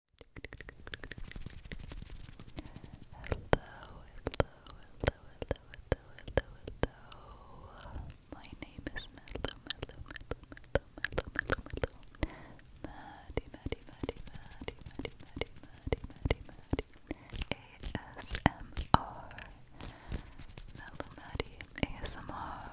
hello, hello, hello, hello, hello. My name is Mello, Maddie, Maddie, Maddie, Maddie, Maddie, Maddie, Maddie, Maddie, Maddie. ASMR. Maddie ASMR.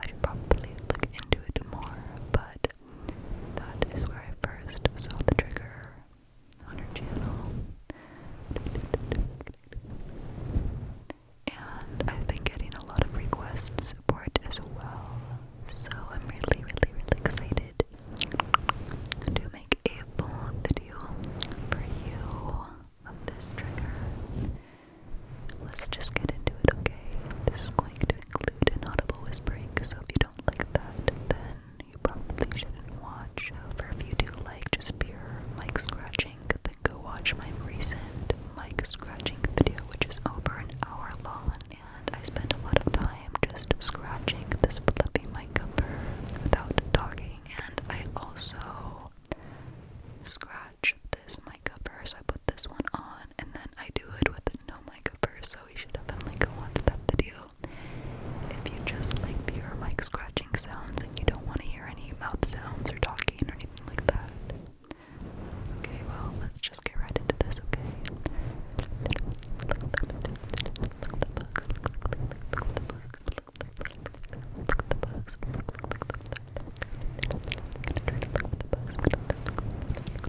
I should probably look into it more, but that is where I first saw the trigger on her channel. And I've been getting a lot of requests for it as well. So I'm really, really, really excited to make a full video for you of this trigger. Let's just get into it, okay? This is going to include inaudible whispering, so if you don't like that, then you probably shouldn't watch. However, if you do like just pure mic scratching, then go watch my recent mic scratching video, which is over an hour long, and I spent a lot of time just scratching this flippy mic cover without talking, and I also scratch this mic makeover, so I put this one on, and then I do it with no makeover, so you should definitely go watch that video. If you just like pure mic scratching sounds and you don't want to hear any mouth sounds or talking or anything like that. Okay, well, let's just get right into this, okay?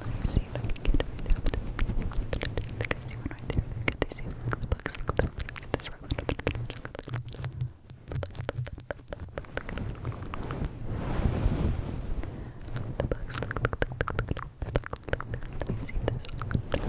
Let me see if I can get it right out. I think I see one right there. Good to see it. Look, look, look, look, look. This right one. The bugs look, look, look, look, look, look. Let me see this one.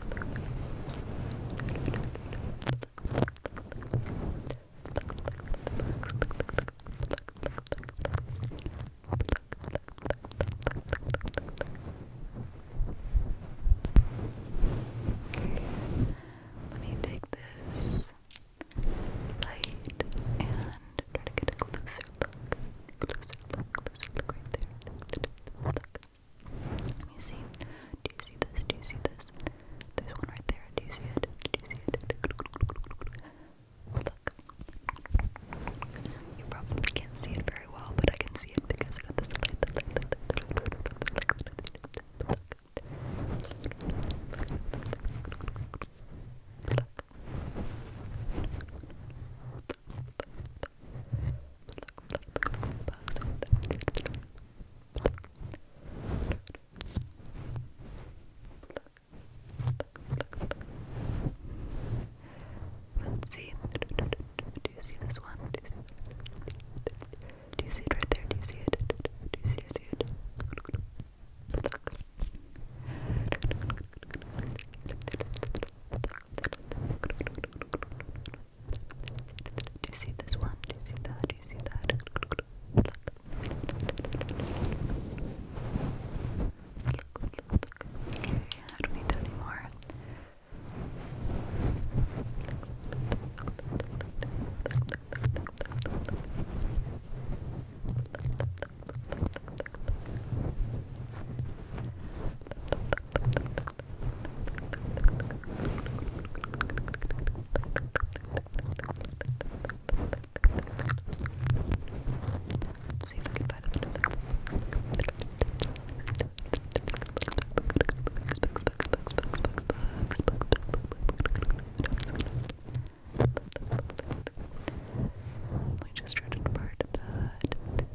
Let me take this light and try to get a closer look. Closer look, closer look right there. Let me see. Do you see this? Do you see this? There's one right there. Do you see it? Do you see it? Look. You probably can't see it very well, but I can see it because I got this Look. Let's see. Do you see this one? Do you see, Do you see it right there? Do you see it? Do you see it? Do you see it? Pluck. Pluck. Pluck. Do you see this one? Do you see that? Do you see that? Look. Look, look, look. Okay, I don't need that anymore. Let's see if we can find another we just try to part that.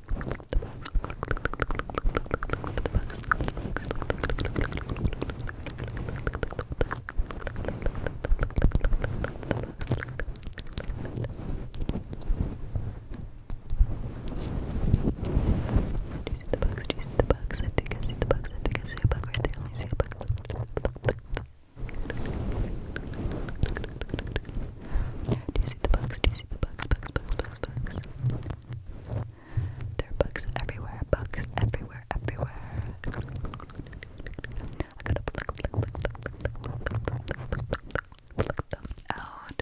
Do you see the bugs? I think I see the bugs. I think I see a bug right there. Let me see a bug. Do you see the bugs? Do there are books everywhere, Books everywhere, everywhere. I them out. Pluck, them out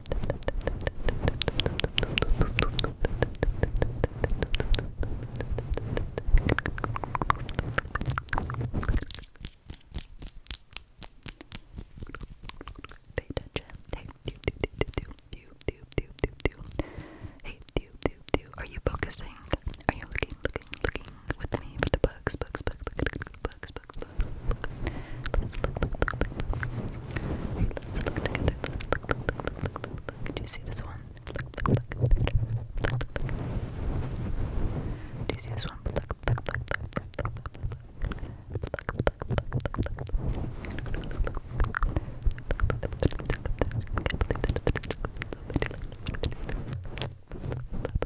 Hey, do, do, do. Are you focusing? Are you looking, looking, looking with me with the bugs, bugs, bugs, bugs, bugs, bugs, books, books. Look. Let's look, look, look, look, look. Let's look together. Look, look, look, look, look, look, look. Do you see this one? Look, look, look. Look, look, look. Do you see this one? Look, look, look, look, look, look, look. Look, look, look, look, look, look. I can't believe that.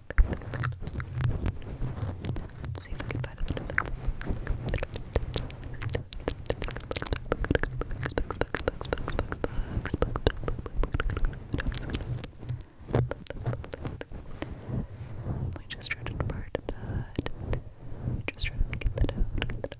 Let's see if we can find a little I just try to part that. I just try to get that out. Get that out.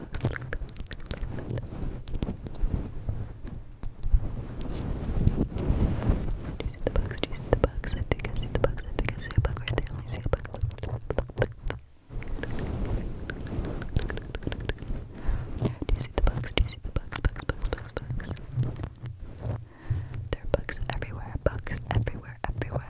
Do you see the bugs? Do you see the bugs? I think I see the bugs. I think I see a bug right there. Let see a bug. Do you see the bugs? Do you see the bugs? Bugs, bugs, bugs, bugs. There are bugs everywhere. Bugs everywhere, everywhere.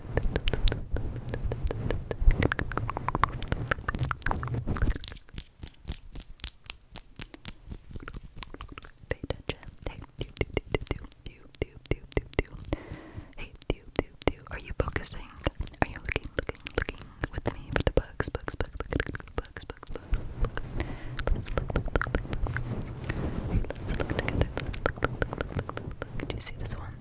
Pay attention. Hey, do, do, do, do, do, do, do, do, do. Hey, do, do, do. Are you focusing? Are you looking, looking, looking with me for the bugs, bugs, bugs, bugs, bugs, bugs, bugs? Look. Let's look, look, look, look, look. Let's look together. Let's look, look, look, look, look. Do you see this one?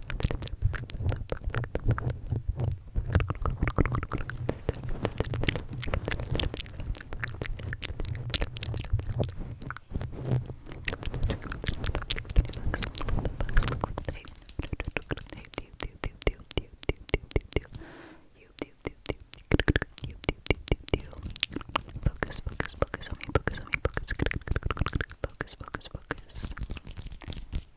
Focus, focus, focus on me, focus on me, focus, focus, focus, focus.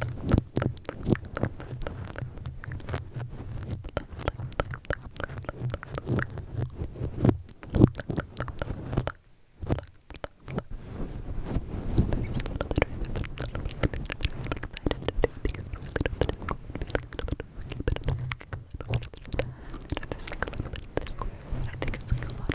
I think it's like a lot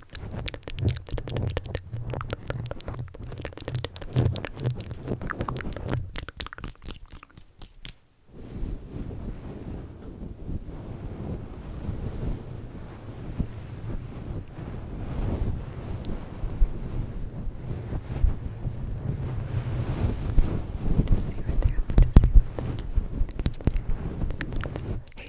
Just see right there. Just see right there. Hey,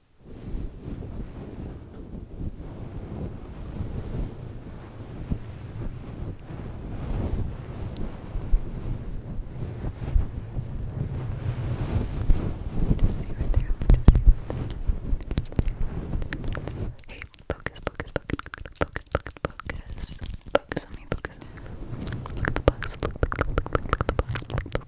Hey, focus, focus, focus, focus, focus, focus. Focus on me, focus. Look the box. Look, look, look, look, look, the box. look,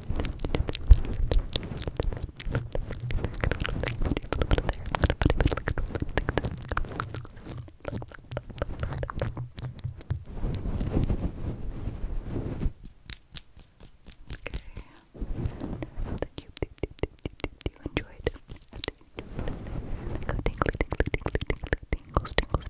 you enjoyed. Go tingly, tingly, tingly, tingly, tingles, tingles,